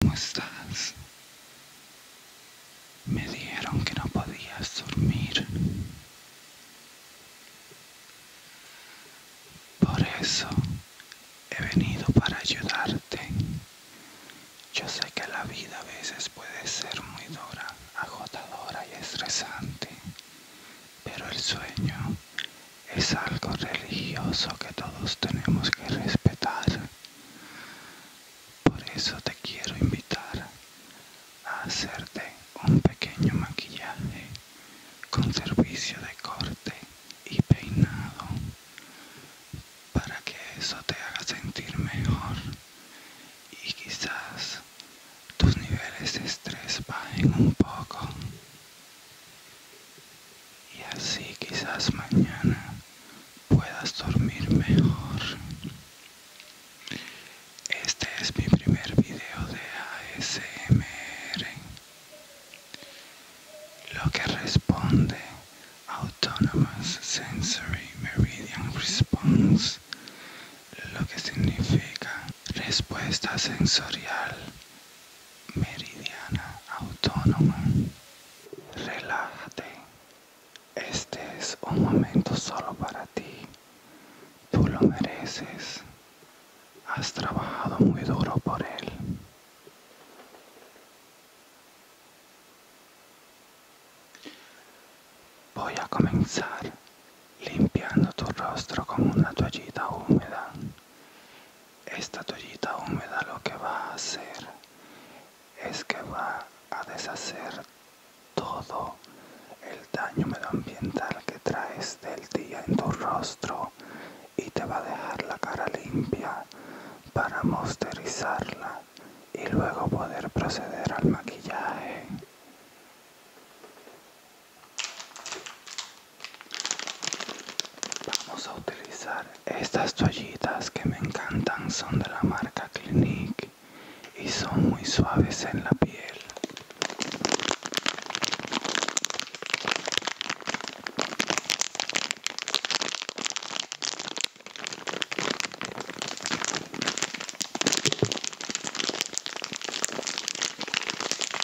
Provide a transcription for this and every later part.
¿Cómo estás? Me dijeron que no podías dormir. Por eso he venido para ayudarte. Yo sé que la vida a veces puede ser muy dura, agotadora y estresante pero el sueño es algo religioso que todos tenemos que respetar. Por eso te quiero invitar a hacerte un pequeño maquillaje con servicio de corte y peinado para que eso te haga sentir mejor y quizás tus niveles de estrés bajen un poco y así quizás mañana puedas dormir mejor este es mi primer video de ASMR lo que responde Autonomous Sensory Meridian Response lo que significa respuesta sensorial meridiana autónoma. Relájate. Este es un momento solo para ti. Tú lo mereces. Has trabajado muy duro por él. Voy a comenzar limpiando tu rostro con una toallita húmeda. Esta toallita húmeda lo que va a hacer es que va a deshacer todo el daño medioambiental que traes del día en tu rostro y te va a dejar la cara limpia para mosterizarla y luego poder proceder al maquillaje. Vamos a utilizar estas toallitas que me encantan, son de la marca Clinique y son muy suaves en la piel.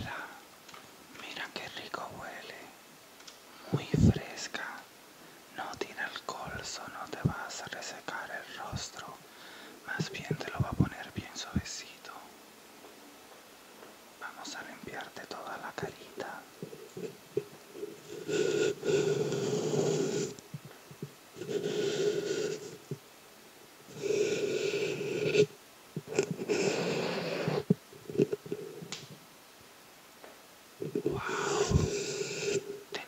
la, mira qué rico huele, muy fresca, no tiene el colso, no te vas a resecar el rostro, más bien te lo va a poner bien suavecito. Vamos a limpiarte toda la carita. Wow,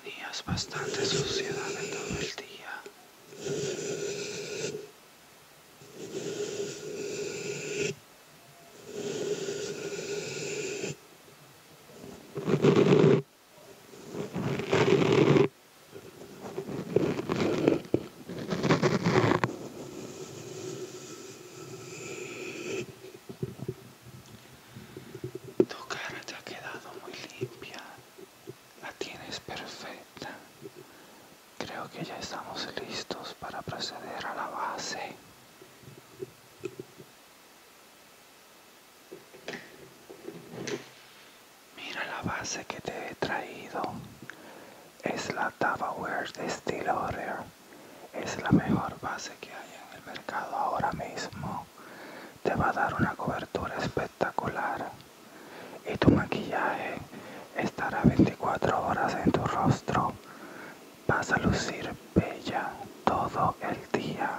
tenías bastante suciedad en todo el día. Tu cara te ha quedado muy limpia, la tienes perfecta. Creo que ya estamos listos para proceder a la base. Mira la base que te he traído. Es la Wear de Steel Order Es la mejor base que hay en el mercado ahora mismo. Te va a dar una cobertura espectacular. Y tu maquillaje estará 24 horas en tu rostro. Vas a lucir bella todo el día.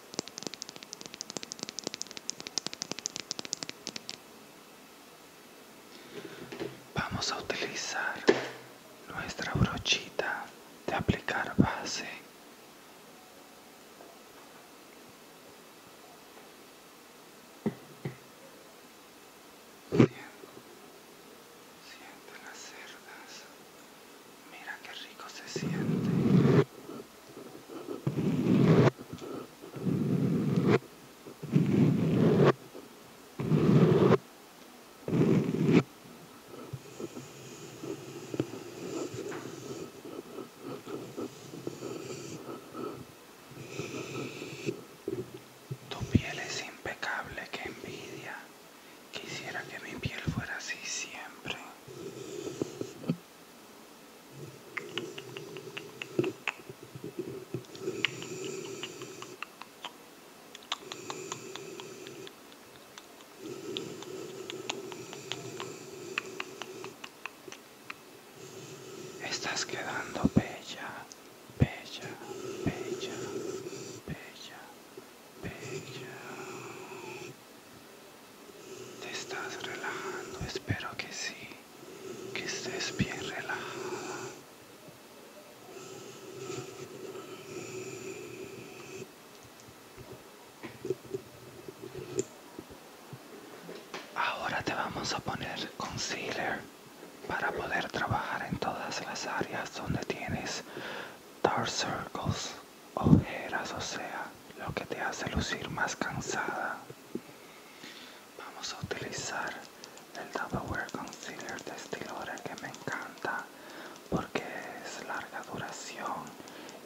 Vamos a utilizar nuestra brochita de aplicar base. Siente las cerdas. Mira qué rico se siente. Tu piel es impecable, que envidia. Quisiera que mi piel fuera así siempre. Estás quedando bella, bella, bella, bella, bella. Te estás relajando, espero que sí, que estés bien relajada. Ahora te vamos a poner concealer para poder trabajar en todas las áreas donde tienes dark circles ojeras, o sea, lo que te hace lucir más cansada. Vamos a utilizar el Double Concealer de Estilora que me encanta porque es larga duración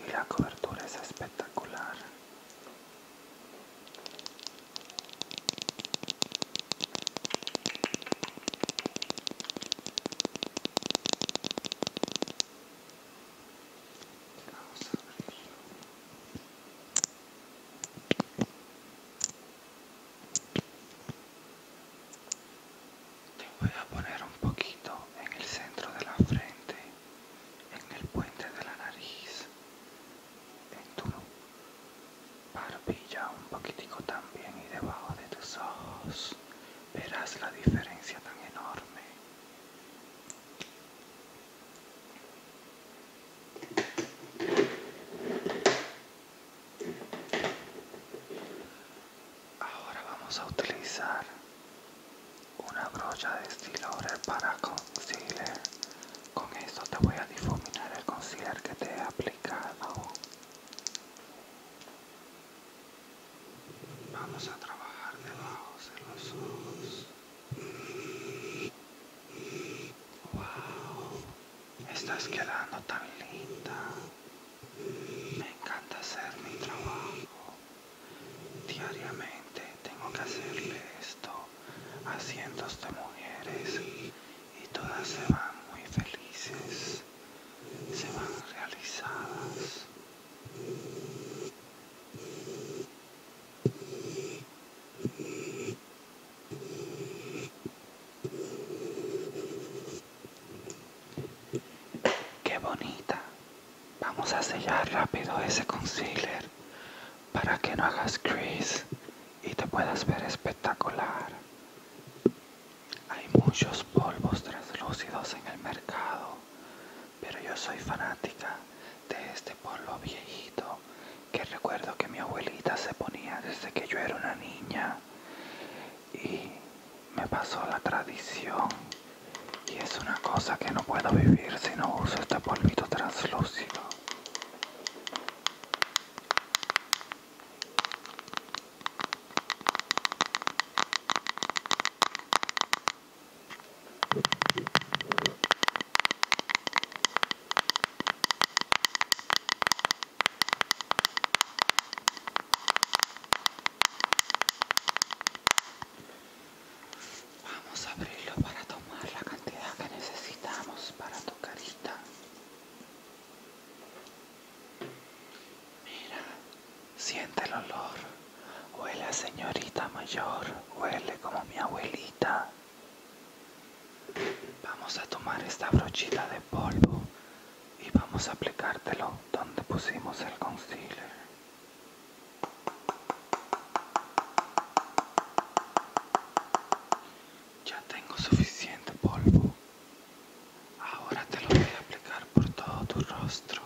y la cobertura es espectacular. Te voy a poner un poquito en el centro de la frente, en el puente de la nariz, en tu barbilla un poquitico también y debajo de tus ojos. Verás la diferencia tan enorme. Ahora vamos a utilizar una brocha de estilo para concealer. Con esto te voy a difuminar el concealer que te he aplicado. Vamos a trabajar debajo de los ojos. Wow, estás quedando tan linda. Me encanta hacer mi trabajo. Diariamente tengo que hacerle esto a cientos de mujeres y todas se van muy felices, se van realizadas. Qué bonita. Vamos a sellar rápido ese concealer para que no hagas crease y te puedas ver espectacular. Hay muchos polvos translúcidos en el mercado pero yo soy fanática de este polvo viejito que recuerdo que mi abuelita se ponía desde que yo era una niña y me pasó la tradición y es una cosa que no puedo vivir si no uso este polvito translúcido. Vamos a abrirlo para tomar la cantidad que necesitamos para tocar carita. Siente el olor. Huele a señorita mayor. Huele como mi abuelita. Vamos a tomar esta brochita de polvo y vamos a aplicártelo donde pusimos el concealer. Ya tengo suficiente polvo. Ahora te lo voy a aplicar por todo tu rostro.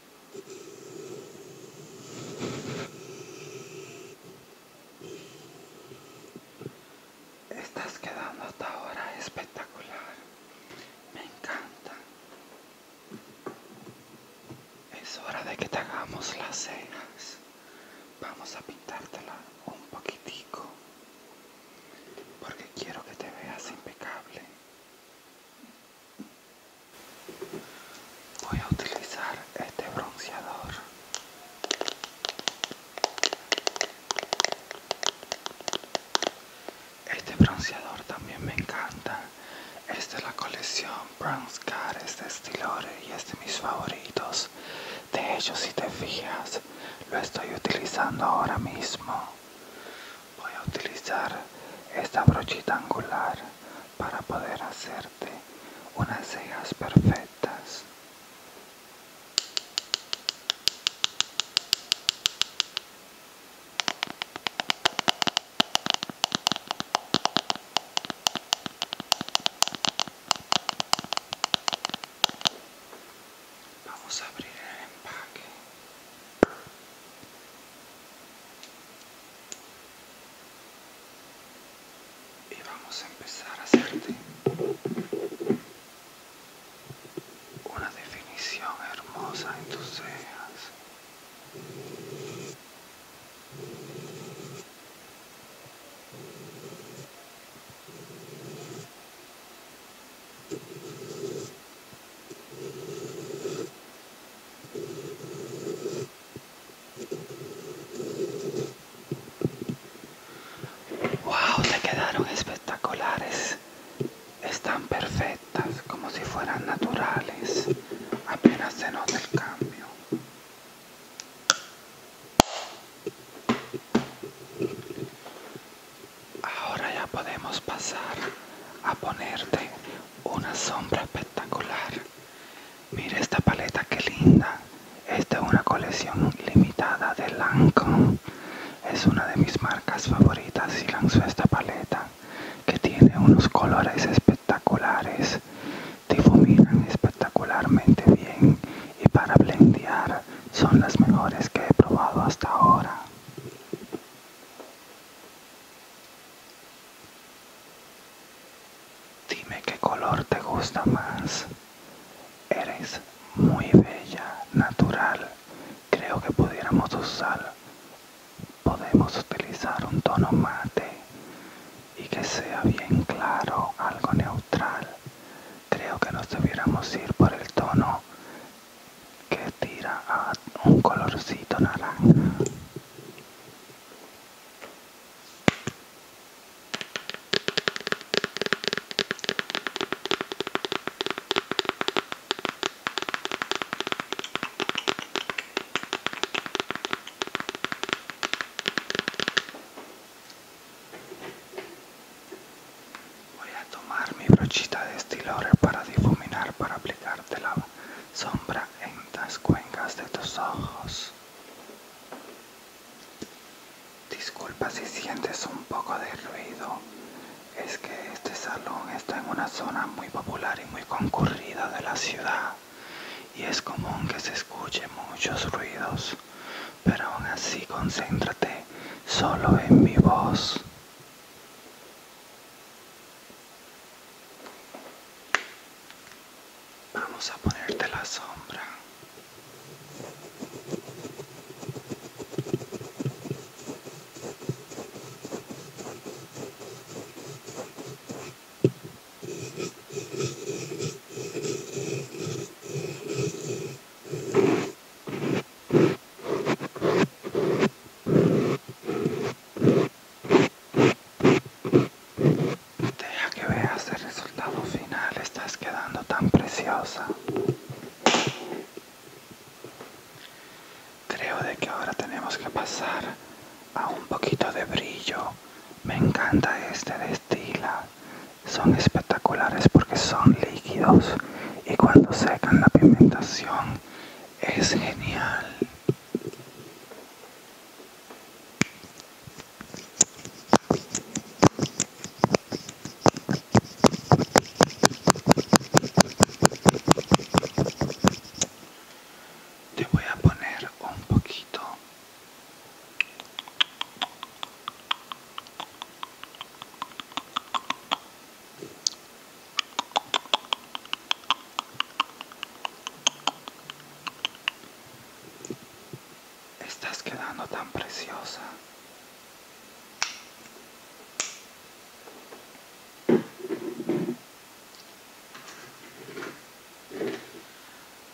Estás quedando hasta ahora espectacular. Me encanta. Es hora de que te hagamos las cejas. Vamos a pintártela un poquitico. Porque quiero que te veas impecable. Voy a utilizar este bronceador. Este bronceador también me encanta. Es de la colección Bronze Car, de Estilore y es de mis favoritos. De ellos si te fijas, lo estoy utilizando ahora mismo. Voy a utilizar esta brochita angular para poder hacerte unas cejas perfectas. Vamos a abrir el empaque y vamos a empezar a hacerte una definición hermosa en tus cejas Wow, te quedaron espectaculares. Están perfectas, como si fueran naturales. Apenas se nota el cambio. Ahora ya podemos pasar a ponerte una sombra espectacular Mira esta paleta que linda. es de una colección limitada de Lancome. Es una de mis marcas favoritas y lanzó esta paleta que tiene unos colores espectaculares. Difuminan espectacularmente bien y para blendear son las mejores que he probado hasta ahora. Dime qué color te gusta más. Eres muy bella, natural. Creo que pudiéramos usar. Podemos utilizar un tono mate y que sea bien claro, algo neutral. Creo que nos debiéramos ir por el tono que tira a un colorcito naranja. Voy a tomar mi brochita de estilador para difuminar para voz sombra en las cuencas de tus ojos. Disculpa si sientes un poco de ruido, es que este salón está en una zona muy popular y muy concurrida de la ciudad y es común que se escuche muchos ruidos, pero aún así concéntrate solo en mi voz. Vamos a ponerte la sombra. Deja que veas el resultado final, estás quedando tan preciosa. Creo que ahora tenemos que pasar a un poquito de brillo. Me encanta este destila, Son espectaculares porque son líquidos y cuando secan la pigmentación es genial. Te voy a poner un poquito Estás quedando tan preciosa.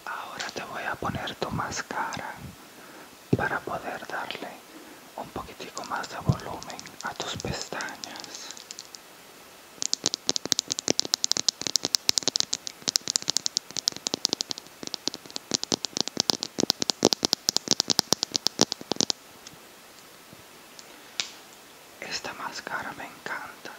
Ahora te voy a poner tu máscara para poder darle un poquitico más de volumen a tus pestañas. Esta máscara me encanta.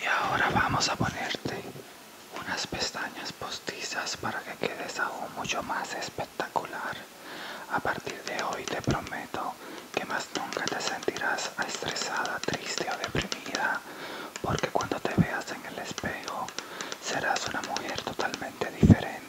Y ahora vamos a ponerte unas pestañas postizas para que quedes aún mucho más especial espectacular. A partir de hoy te prometo que más nunca te sentirás estresada, triste o deprimida, porque cuando te veas en el espejo serás una mujer totalmente diferente.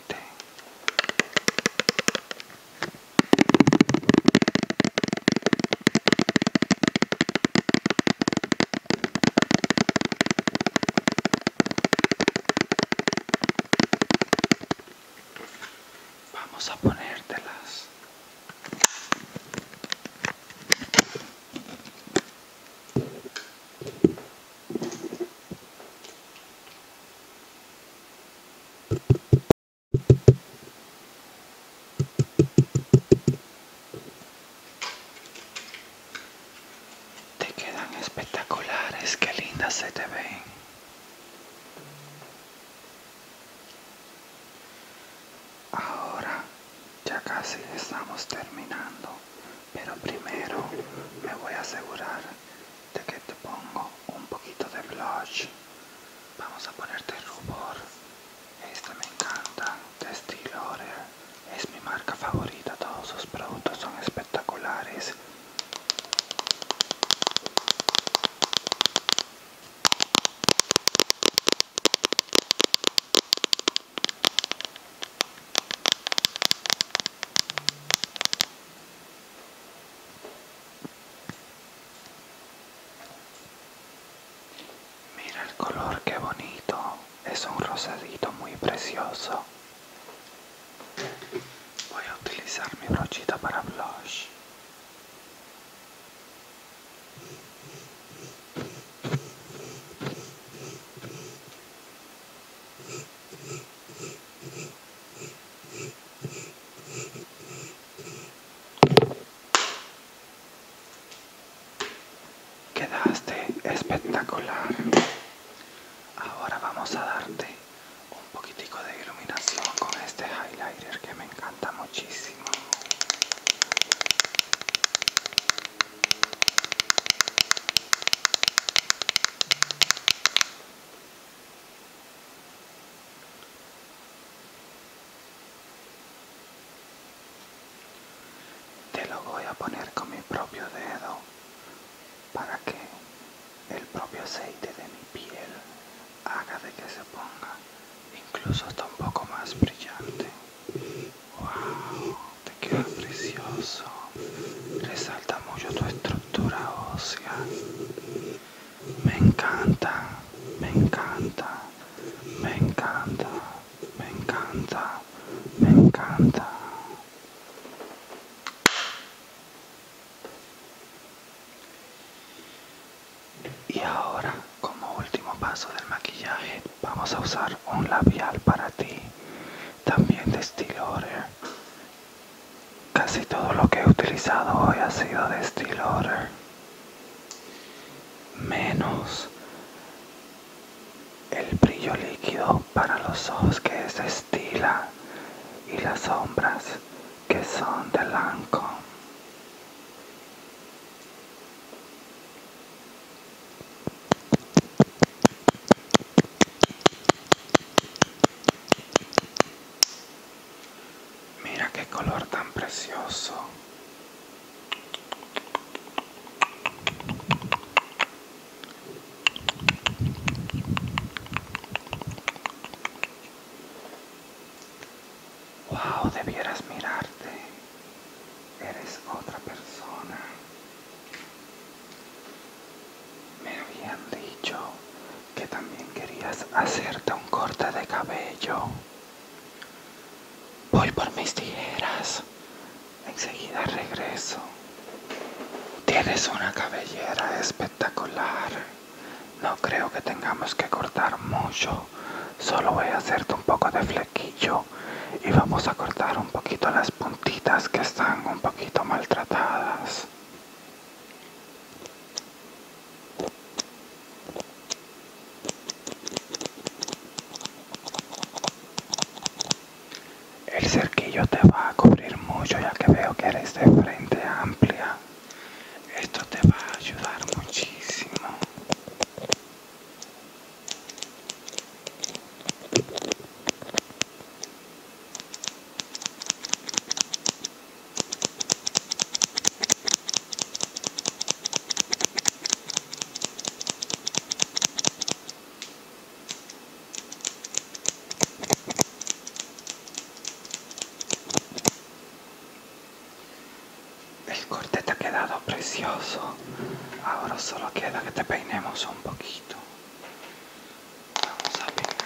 Vamos a ponértelas. Te quedan espectaculares, qué lindas se te ven. Ahora ya casi estamos terminando, pero primero me voy a asegurar de que te pongo un poquito de blush. Vamos a ponerte rubor. Este me encanta, de es mi marca favorita, todos sus productos son espectaculares. Mira el color, qué bonito. Es un rosadito muy precioso. Voy a utilizar mi brochita para blush. Quedaste espectacular. Ahora vamos a darte un poquitico de iluminación con este highlighter que me encanta muchísimo. Te lo voy a poner con mi propio dedo para que el propio aceite de mi piel haga de que se ponga incluso hasta un poco más brillante. ¡Wow! Te queda precioso. Resalta mucho tu estructura ósea. Me encanta, me encanta, me encanta, me encanta, me encanta. Y ahora, como último paso del maquillaje, vamos a usar un labial para ti, también de estilo Order. Casi todo lo que he utilizado hoy ha sido de estilo Order. Menos el brillo líquido para los ojos que es estila y las sombras que son de blanco Mira qué color tan precioso. Wow, debieras mirarte. Eres otra persona. Me habían dicho que también querías hacerte un corte de cabello. Voy por mis tijeras. Enseguida regreso. Tienes una cabellera espectacular. No creo que tengamos que cortar mucho. Solo voy a hacerte un poco de flequillo y vamos a cortar un poquito las puntitas que están un poquito maltratadas. El cerquillo te va a cubrir mucho ya que veo que eres de frente amplia. Esto te va a ayudar muchísimo. El corte te ha quedado precioso. Ahora solo queda que te peinemos un poquito. Vamos a peinar.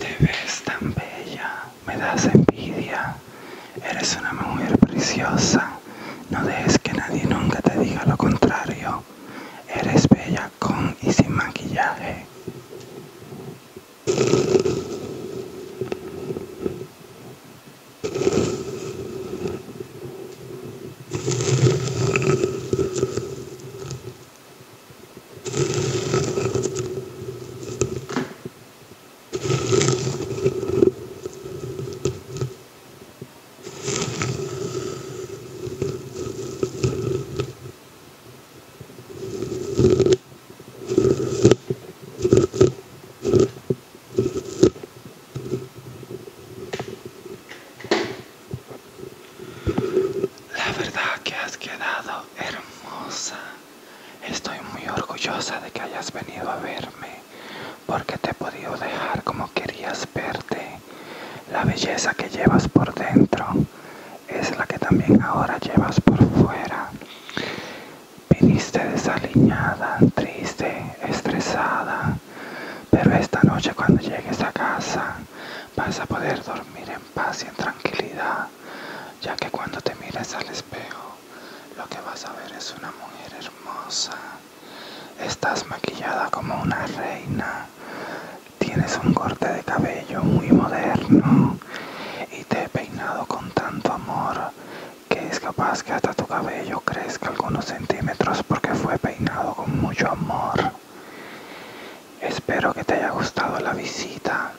Te ves tan bella me das envidia. Eres una mujer preciosa. No dejes que nadie nunca te diga lo contrario. Eres bella con y sin maquillaje. La verdad que has quedado hermosa. Estoy muy orgullosa de que hayas venido a verme, porque te he podido dejar como querías verte. La belleza que llevas por dentro es la que también ahora llevas por fuera. Viniste desaliñada, triste, estresada, pero esta noche cuando llegues a casa vas a poder dormir en paz y en tranquilidad, ya que cuando te mires al espejo, lo que vas a ver es una mujer hermosa. Estás maquillada como una reina. Tienes un corte de cabello muy moderno y te he peinado con tanto amor que es capaz que hasta tu cabello crezca algunos centímetros porque fue peinado con mucho amor. Espero que te haya gustado la visita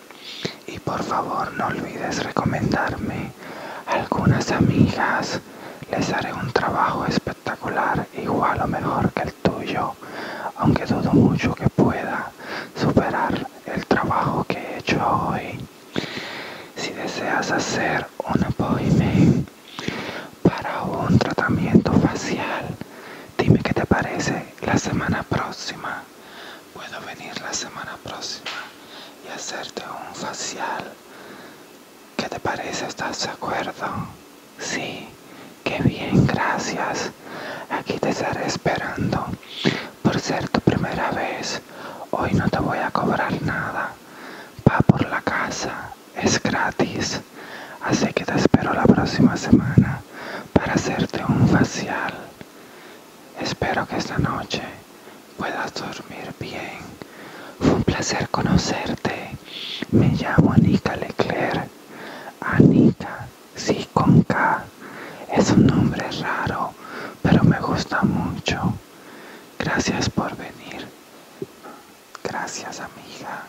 y por favor no olvides recomendarme a algunas amigas. Les haré un trabajo espectacular, igual o mejor que el tuyo, aunque dudo mucho que pueda superar el trabajo que he hecho hoy. Si deseas hacer un appointment para un tratamiento facial, dime qué te parece la semana próxima puedo venir la semana próxima y hacerte un facial. ¿Qué te parece? ¿Estás de acuerdo? Sí, qué bien, gracias. Aquí te estaré esperando. Por ser tu primera vez, hoy no te voy a cobrar nada. Va por la casa, es gratis. Así que te espero la próxima semana para hacerte un facial. Espero que esta noche puedas dormir bien. Fue un placer conocerte. Me llamo Anika Leclerc. Anika, sí, con K. Es un nombre raro, pero me gusta mucho. Gracias por venir. Gracias, amiga.